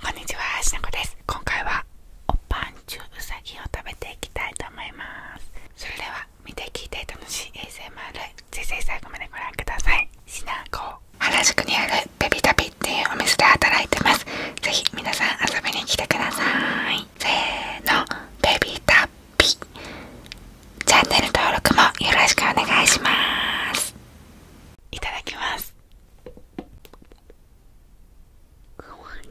こんにちはしなこです今回はおパンチュウうさぎを食べていきたいと思いますそれでは見て聞いて楽しい ASMR ぜひ最後までご覧くださいしなこ原宿にあるベビタピっていうお店で働いてます是非皆さん遊びに来てくださいせーのベビタピチャンネル登録もよろしくお願いしますいただきますかわいい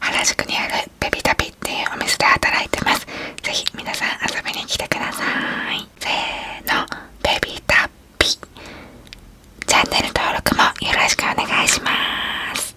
原宿にあるベビタピっていうお店で働いてます是非皆さん遊びに来てくださいせーのベビタピチャンネル登録もよろしくお願いします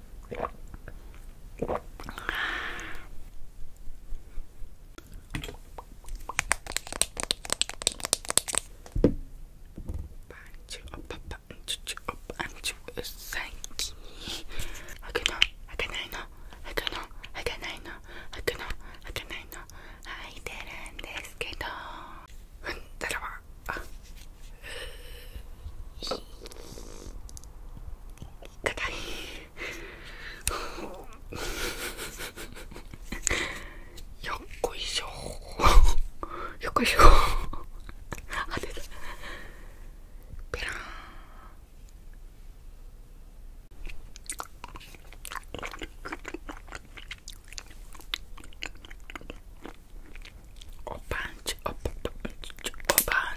パンチューパパンチュパンチュー最近開くの開かないの開くの開かないの開くの開かないの開いてるんですけどうんだらば硬いよっこいしょよこいしょ当てたペラーおパンチおパンチおパンチ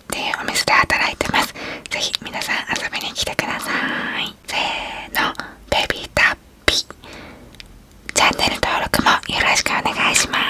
っお店で働いてますぜひ皆さん遊びに来てくださいせーのベビータッピチャンネル登録もよろしくお願いします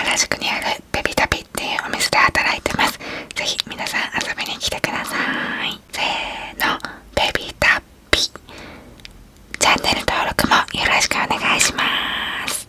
原宿にあるベビタピっていうお店で働いてます是非皆さん遊びに来てくださいせーのベビタピチャンネル登録もよろしくお願いします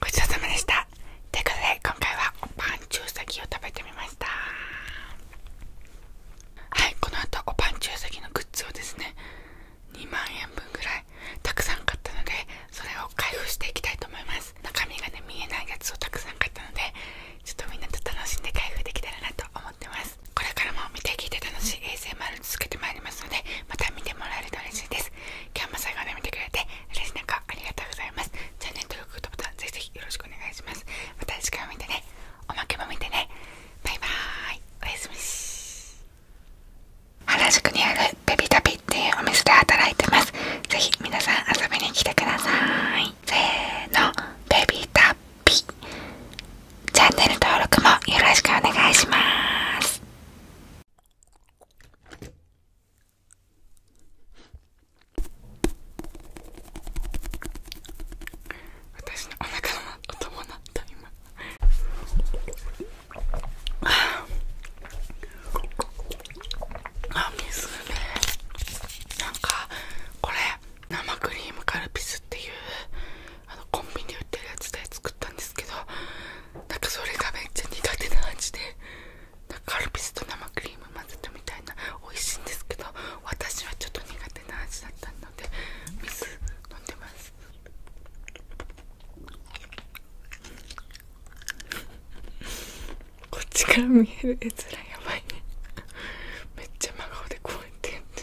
ごちそうさまでしたということで今回はおパンちゅうさぎを食べてみましたはいこの後おパンちゅうさぎのグッズをですね2万円分ぐらいたくさん買ったのでそれを開封していきたいと思います中身がね見えないやつをたくさん買ったのでちょっとみんなと楽しんで開封できたらなと思ってますこれからも見て聞いて楽しい ASMR 続けてまいりますのでまた見てもらえると嬉しいです今日も最後まで見てくれて嬉しい中ありがとうございますチャンネル登録グッドボタンぜひぜひよろしくお願いしますまた次回も見てねおまけも見てねバイバーイおやすみし原宿にあるベビタピっていうお店で働いてますぜひ皆さん遊びに来てくださいせーのベビタピ。チャンネル登録もよろしくお願いします私のお腹の音も鳴った今あ水ねなんかこれ生クリームカルピスっていうあのコンビニ売ってるやつで作ったんですけどなんかそれがめっちゃ苦手な味でなんかカルピスと生クリーム混ぜたみたいな美味しいんですけど私はちょっと苦手な味だったので水飲んでます。こっちから見える絵面やばいねめっちゃ真顔でこうやってやって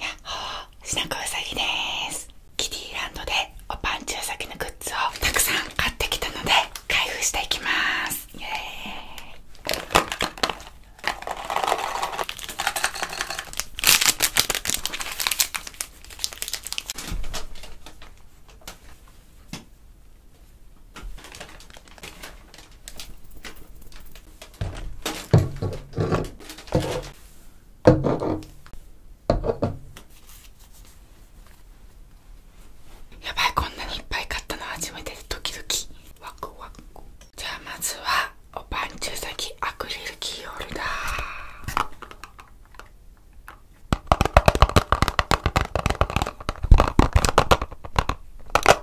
やっほーしなこうさぎですキティランドでおぱんちゅう先のグッズをたくさん買ってきたので開封していきますイエーイやばいこんなにいっぱい買ったのは初めてでドキドキワクワクじゃあまずはおパンチ先アクリルキーホルダーちょっ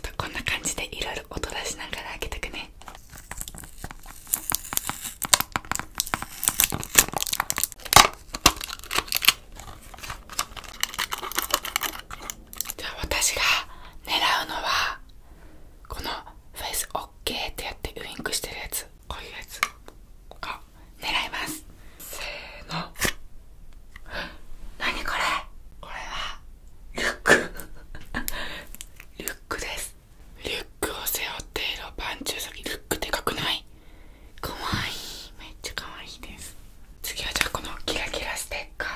とこんな感じでいろいろ音出しながら開けてくねじゃあ私が狙うのはこのフェイス OK ってやってウインクしてるやつこういうやつを狙いますせーの何これこれはリュック リュックですリュックを背負っているパンチ先リュックでかくないかわいいめっちゃかわいいです次はじゃあこのキラキラステッカ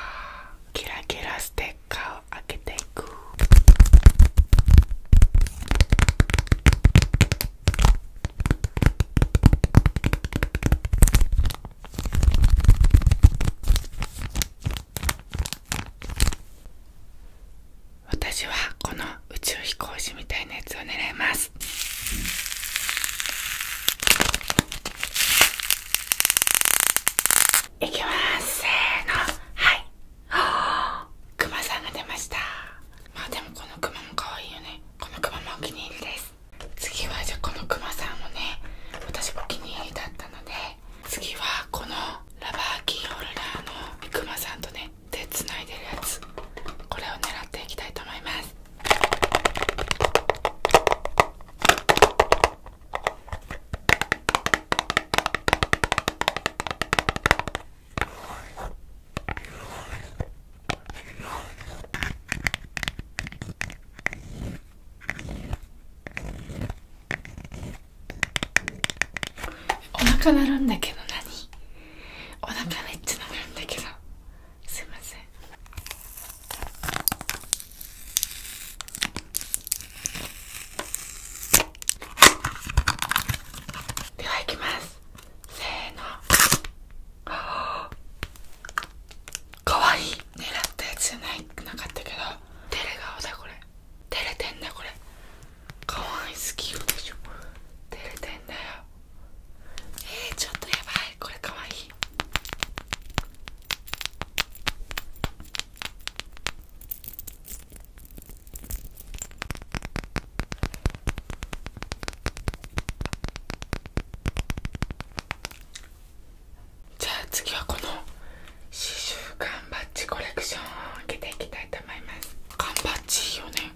ーキラキラステッカー。開けていく私はこの宇宙飛行士みたいなやつを狙いますいきますせーのはいク マさんが出ましたまあでもこのクマも可愛いよねこのクマもお気に入りです次はじゃあこのクマさんをね私もお気に入りだったので次はこのラバーキーホルダーのクマさんとね手つないでるやつこれを狙っていきたいと思いますお腹鳴るんだけど何お腹めっちゃ鳴るんだけどすいませんではいきますせーの かわいい狙ったやつじゃないなかったけどテれ顔だこれ照れてんだこれかわいいすぎるでしょ照れてんだよえちょっとやばいこれかわいいじゃあ次はこの刺繍缶バッジコレクションを開けていきたいと思います缶バッジいいよね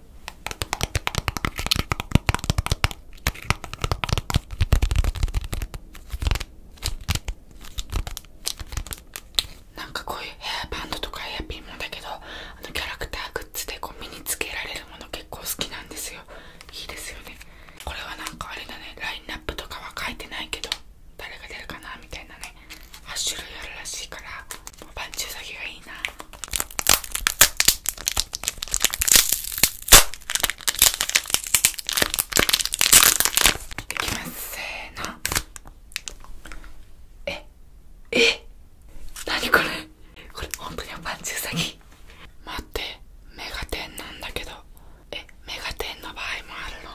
なんかこういうヘアバンドとかヘアピンもだけどあのキャラクターグッズでこう身につけられるもの結構好きなんですよいいですよねこれはなんかあれだねラインナップとかは書いてないけど誰が出るかなみたいなね8種類あるらしいからバンチュウがいいなできますせーのええ何これこれ本当におパンチウサギ待ってメガテンなんだけどえメガテンの場合もあるの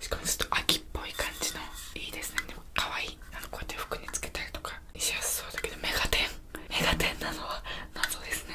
しかもちょっと秋っぽい感じのいいですねでもかわいいあのこうやって服につけたりとかしやすそうだけどメガテンメガテンなのは謎ですね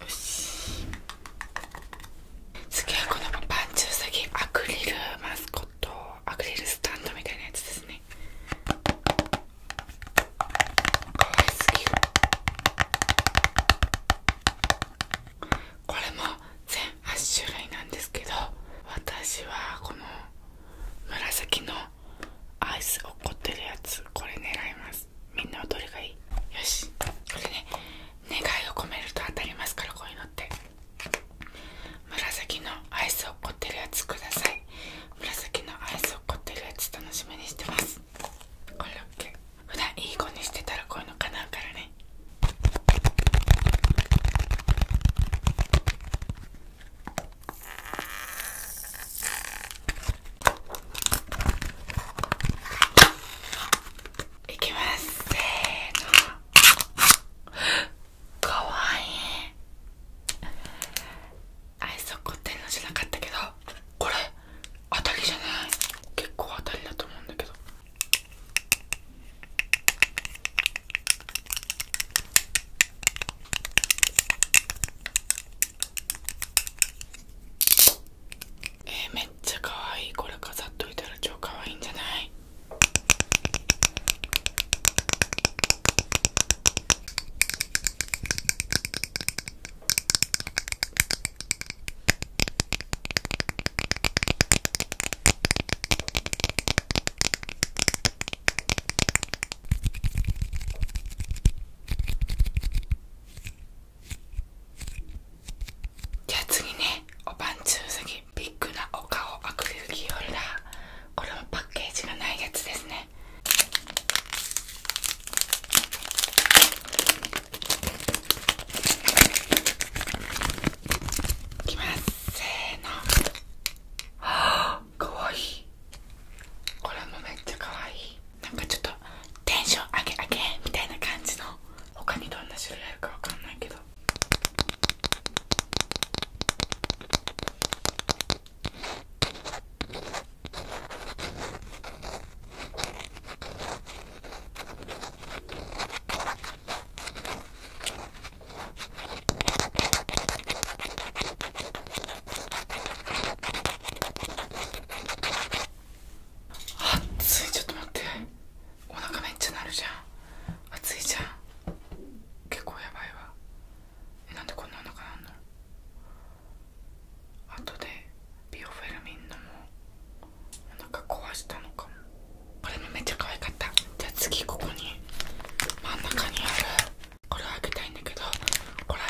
よし次はこのパンチュの先アクリルマスコットアクリルスタンドみたいなやつですねかわいすぎるこれも全8種類なんですけど私はこの紫のアイス落っこってるやつこれ狙いますみんなはどれがいいよしこれね願いを込めると当たりますからこういうのって紫のアイス落っこってるやつください紫のアイス落っこってるやつ楽しみにしてますこれ OK 普段いい子にしてたらこういうの叶うからねいきますせーのかわいいアイスをこってるのじゃなかったけどこれ当たりじゃない結構当たりだと思うんだけどえめっちゃかわいいこれ飾っといたら超かわいいんじゃないじゃあ次ねおばんちゅうさぎビッグなお顔アクリルキーホルダーこれもパッケージがないやつですねいきますせーのわかいこれもめっちゃかわいなんかちょっとテンション上げ上げみたいな感じの他にどんな種類あるかわかんないけど熱いちょっと待ってお腹めっちゃなるじゃん熱いじゃん結構やばいわえなんでこんなお腹なんの後でビオフェルミンのもお腹壊したのかもこれもめっちゃ可愛かったじゃあ次ここに真ん中にあるこれを開けたいんだけどこれ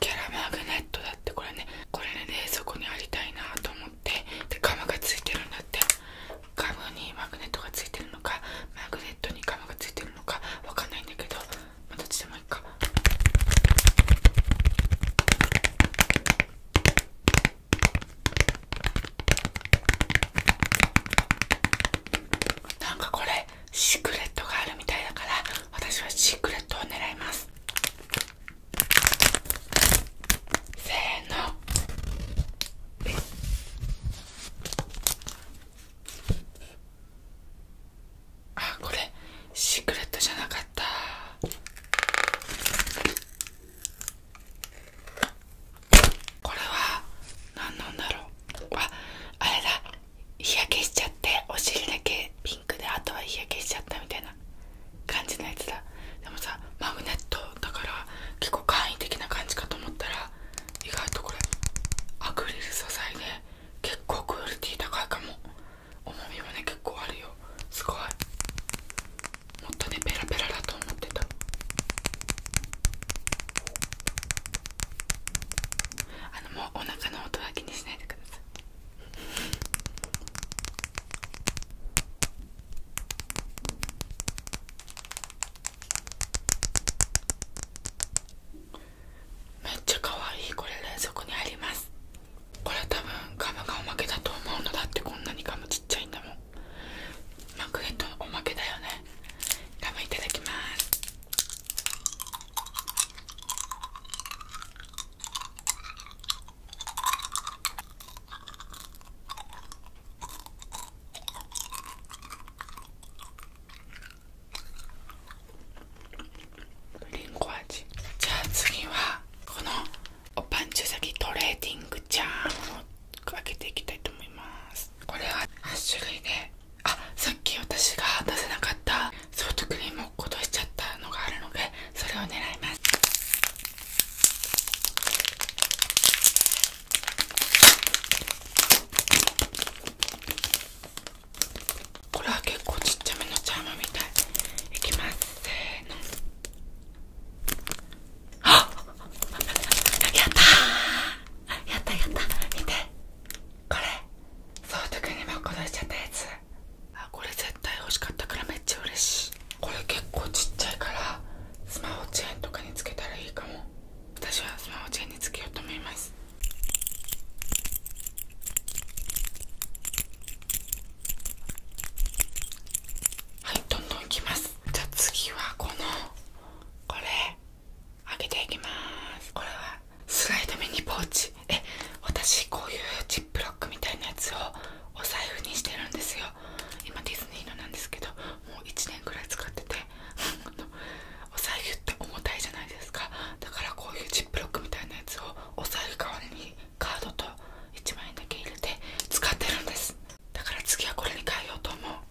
キャラマグネットだってこれねこれねそこにありたいなと思ってでガムがついてるんだってガムにマグネットがついてるのかマグネットにガムがついてるのかわかんないんだけどまあどっちでもいいかなんかこれシークレットがあるみたいだから私はシークレットを狙いますせーのあこれシークレットじゃなかったこれは何なんだろうああれだ日焼けしちゃってお尻だけピンクであとは日焼けしちゃったみたいな感じのやつだでもさマグネットだから結構簡易的な感じかと思ったら意外とこれアクリル素材で結構クオリティ高いかも重みもね結構あるよすごいもっとねペラペラだと思ってたあのもうお腹の音は気にしないでくださいめっちゃ可愛いこれ冷蔵庫にありますこれ多分ガムがおまけだと思うのだってこんなにガムちっちゃいんだもんマクレットおまけだよねガムいただきますリンゴ味じゃあ次はこのおパンチ先トレーディングチャームを開けていきたいと思いますこれは8種類であさっき私が出せなかったソフトクリームを落ことしちゃったのがあるのでそれを狙いますこれは結構ちっちゃめのチャームみたいいきますせーのあっやったやったやった見てこれそうとくにもこどしちゃったやつあこれ絶対欲しかったからめっちゃ嬉しいこれ結構ちっちゃいからスマホチェーンとかにつけたらいいかも私はスマホチェーンにつけようと思いますはいどんどんいきますじゃあ次はこのこれ開けていきますこれはスライドミニポーチえ私こういうジップロックみたいなやつをお財布にしてるんですよ今ディズニーのなんですけどもう1年くらい使ってて お財布って重たいじゃないですかだからこういうジップロックみたいなやつをお財布代わりにカードと1枚だけ入れて使ってるんですだから次はこれに変えようと思う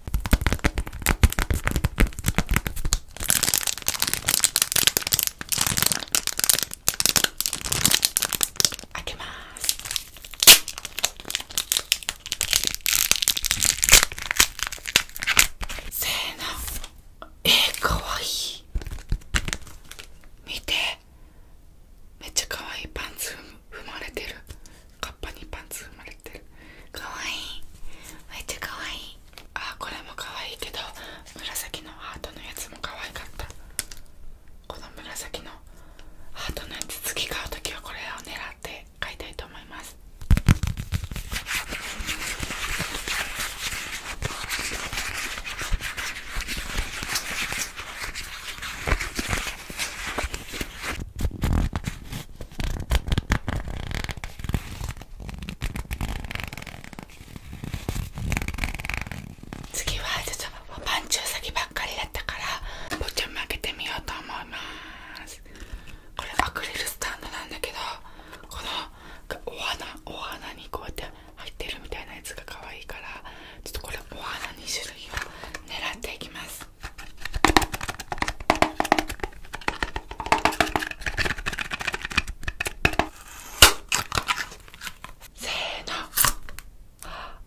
開けますえー、かい見てめっちゃかわいいパンツ踏まれてるカッパにパンツ踏まれ入ってるかわいいめっちゃかわいいあこれもかわいいけど紫のハートのやつもかわいかったこの紫のハートのやつ次買う時はこれを狙って買いたいと思います次はちょっとパンチ先ばっかりだったからぼちゃまけてみようと思いますこれアクリルスタンドなんだけどこのお花お花にこうやって入ってるみたいなやつが可愛いからちょっとこれお花2種類を狙っていきますせーの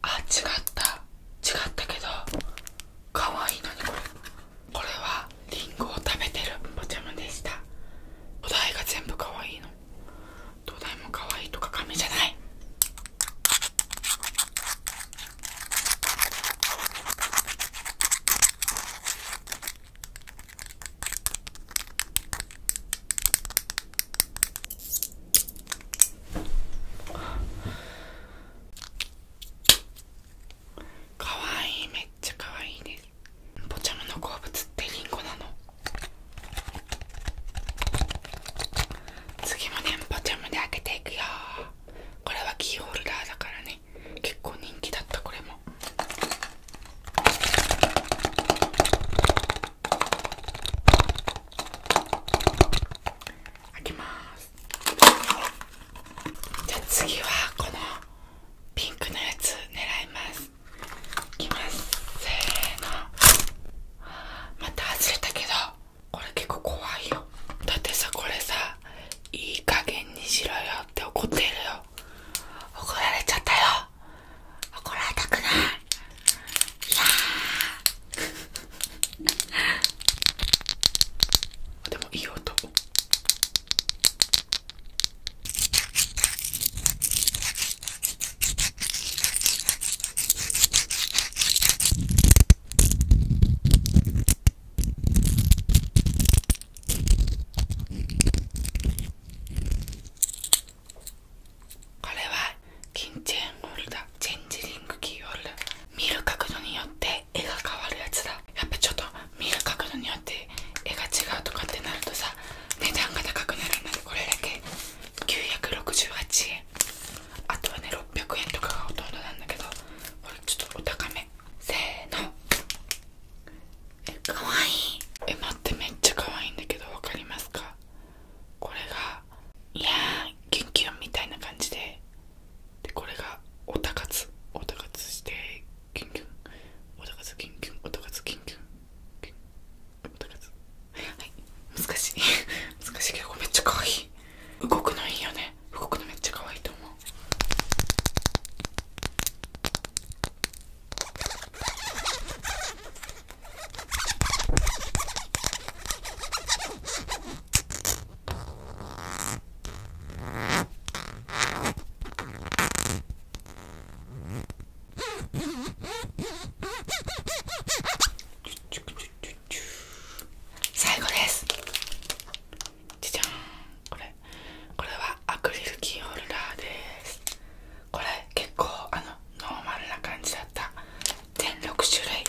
あ違った違ったけどかわいいのにこれこれはリンゴを食べてるお茶碗でしたお題が全部かわいいの土台もかわいいとか紙じゃないかわいいめっちゃかわいいですポチャムの好物ってリンゴなの次もねポチャムで開けていくよこれはキーホルダーだからね結構人気だったこれも開けますじゃあ次はこのピンクのやつ狙いますいきますせーのまた外れたけどこれ結構怖いよだってさこれさいい加減にしろよって怒ってるよ怒られちゃったよ怒られたくないいや でもいい音これは金チェーンホルダチェンジリングキーホルダー見る角度によって絵が変わるやつだやっぱちょっと見る角度によって絵が違うとかってなるとさ値段が高くなるんだけこれだけ968円あとはね600円とかがほとんどなんだけどこれちょっとお高めせーのえかわいいえ待ってめっちゃかわいいんだけどわかりますかこれがいやーキュンキュンみたいな感じででこれがオタ活、オタ活してキュンキュンおたかつキュンキュンおたかキュンキュンキュンはい難しい 難しいけどめっちゃかわいい動くのいいよねねのめっちゃ可愛いと思う最後ですじゃゃんこれこれはアクリルキーホルダーですこれ結構あのノーマルな感じだった全6種類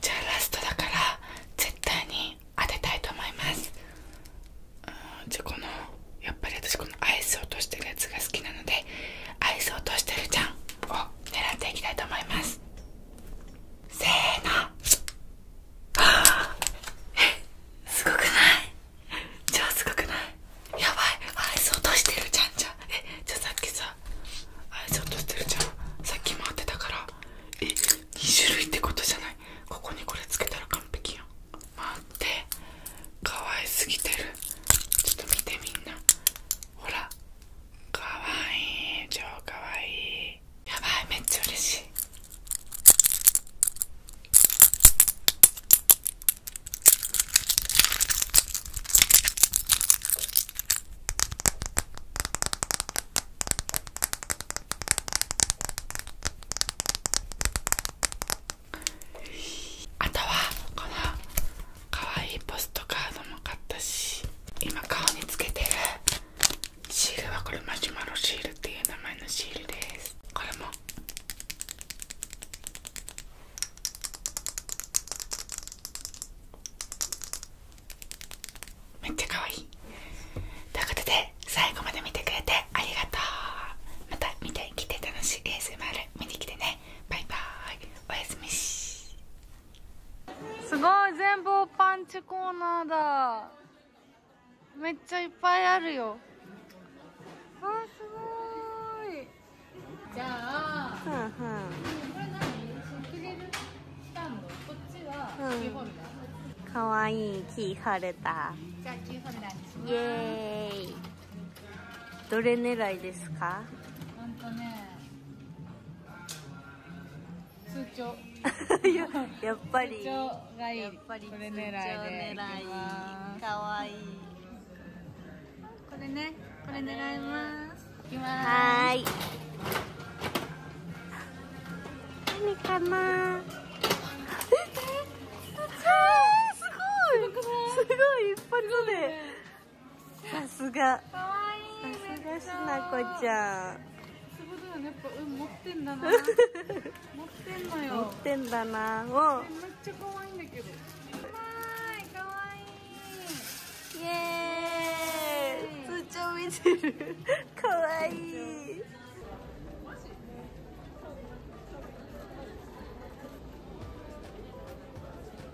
じゃあラストだから絶対に当てたいと思いますじゃあこのやっぱり私このアイス落としてるやつが好きなのでアイ落としてるちゃんを狙っていきたいと思いますせーのあえすごくないじゃあすごくないやばいアイス落としてるちゃんじゃんえじゃあさっきさアイス落としてるちゃんさっき回ってたからえ2種類ってことじゃないここにこれつけたら完璧やん待ってかわいすぎてるちょっと見てみんなほらかわいい超かわいいやばいめっちゃ嬉しいあとはこの可愛いポストカードも買ったし今顔につけてるシールはこれマシュマロシールっていう名前のシールですこれもめっちゃ可愛いということで最後まで見てくれてありがとうまた見てきて楽しい ASMR 見に来てねバイバーイおやすみしすごい全部パンチコーナーだめっちゃいっぱいあるよあすごいじゃあ、うんうん、かわいいキーホルダーイエーイどれ狙いですか本当ね通帳 やっぱりいいやっぱりこれいでれねこれ狙いますはい何かなえすごいすごい一発で、さすがかわいさすがしなこちゃん 持ってんだな持ってんだなおめいかわいいイエーかわいい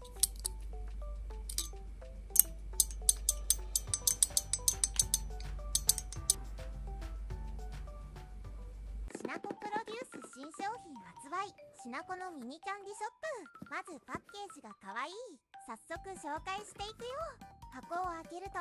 しなこプロデュース新商品発売しなこのミニキャンディショップまずパッケージが可愛い早速紹介していくよ箱を開けると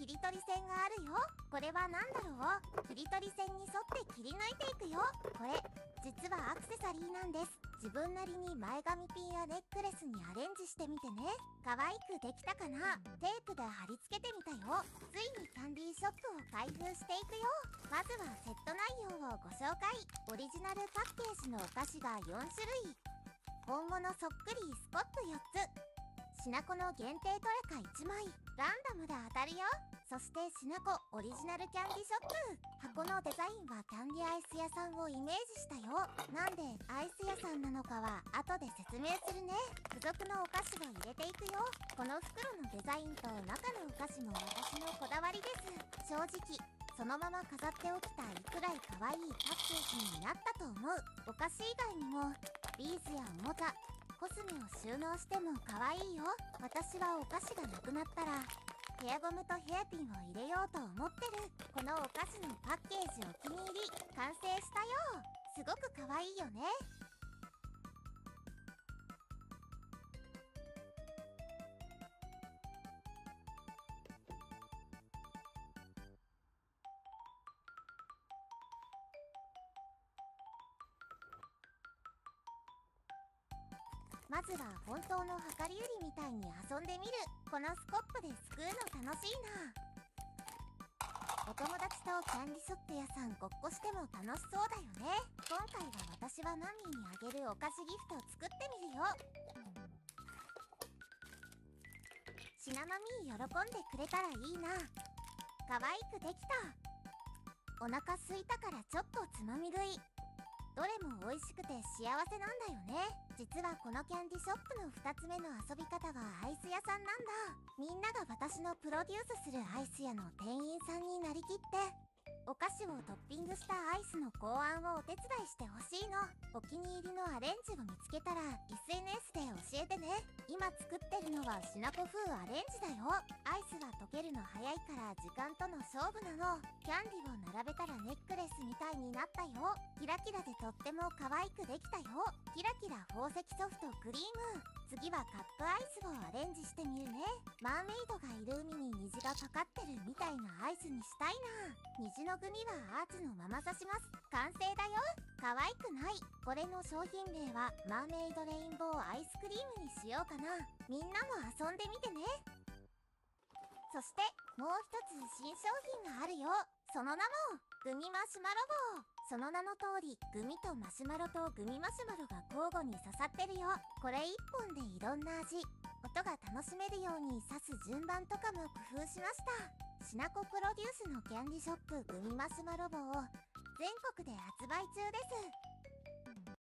切り取り線があるよこれは何だろう切り取り線に沿って切り抜いていくよこれ実はアクセサリーなんです自分なりに前髪ピンやネックレスにアレンジしてみてね可愛くできたかなテープで貼り付けてみたよついにキャンディーショップを開封していくよまずはセット内容をご紹介オリジナルパッケージのお菓子が4種類本物そっくりスコップ4つしなこの限定トレカ1枚ランダムで当たるよそしてしなこオリジナルキャンディショップ箱のデザインはキャンディアイス屋さんをイメージしたよなんでアイス屋さんなのかは後で説明するね付属のお菓子を入れていくよこの袋のデザインと中のお菓子も私のこだわりです正直そのまま飾っておきたいくらいわいいパッケージになったと思うお菓子以外にもビーズやおもちゃコスメを収納しても可愛いよ私はお菓子がなくなったらヘアゴムとヘアピンを入れようと思ってるこのお菓子のパッケージお気に入り完成したよすごく可愛いよねまずは本当の量り売りみたいに遊んでみるこのスコップですくうの楽しいなお友達とキャンディショップ屋さんごっこしても楽しそうだよね今回は私はマミーにあげるお菓子ギフトを作ってみるよシナマミー喜んでくれたらいいな可愛くできたお腹すいたからちょっとつまみ食いどれも美味しくて幸せなんだよね実はこのキャンディショップの2つ目の遊び方がアイス屋さんなんだみんなが私のプロデュースするアイス屋の店員さんになりきってお菓子をトッピングしたアイスの考案をお手伝いしてほしいのお気に入りのアレンジを見つけたら SNS で教えてね今作ってるのはしなこ風アレンジだよアイスは溶けるの早いから時間との勝負なのキャンディを並べたらネックレスみたいになったよキラキラでとっても可愛くできたよキラキラ宝石ソフトクリーム次はカップアイスをアレンジしてみるねマーメイドがいる海に虹がかかってるみたいなアイスにしたいな虹の具にはアーチのまま刺します完成だよ可愛くないこれの商品名はマーメイドレインボーアイスクリームにしようかなみんなも遊んでみてねそしてもう一つ新商品があるよその名もグミマシュマロ棒その名の通りグミとマシュマロとグミマシュマロが交互に刺さってるよこれ1本でいろんな味音が楽しめるように刺す順番とかも工夫しましたしなこプロデュースのキャンディショップグミマシュマロ棒を全国で発売中です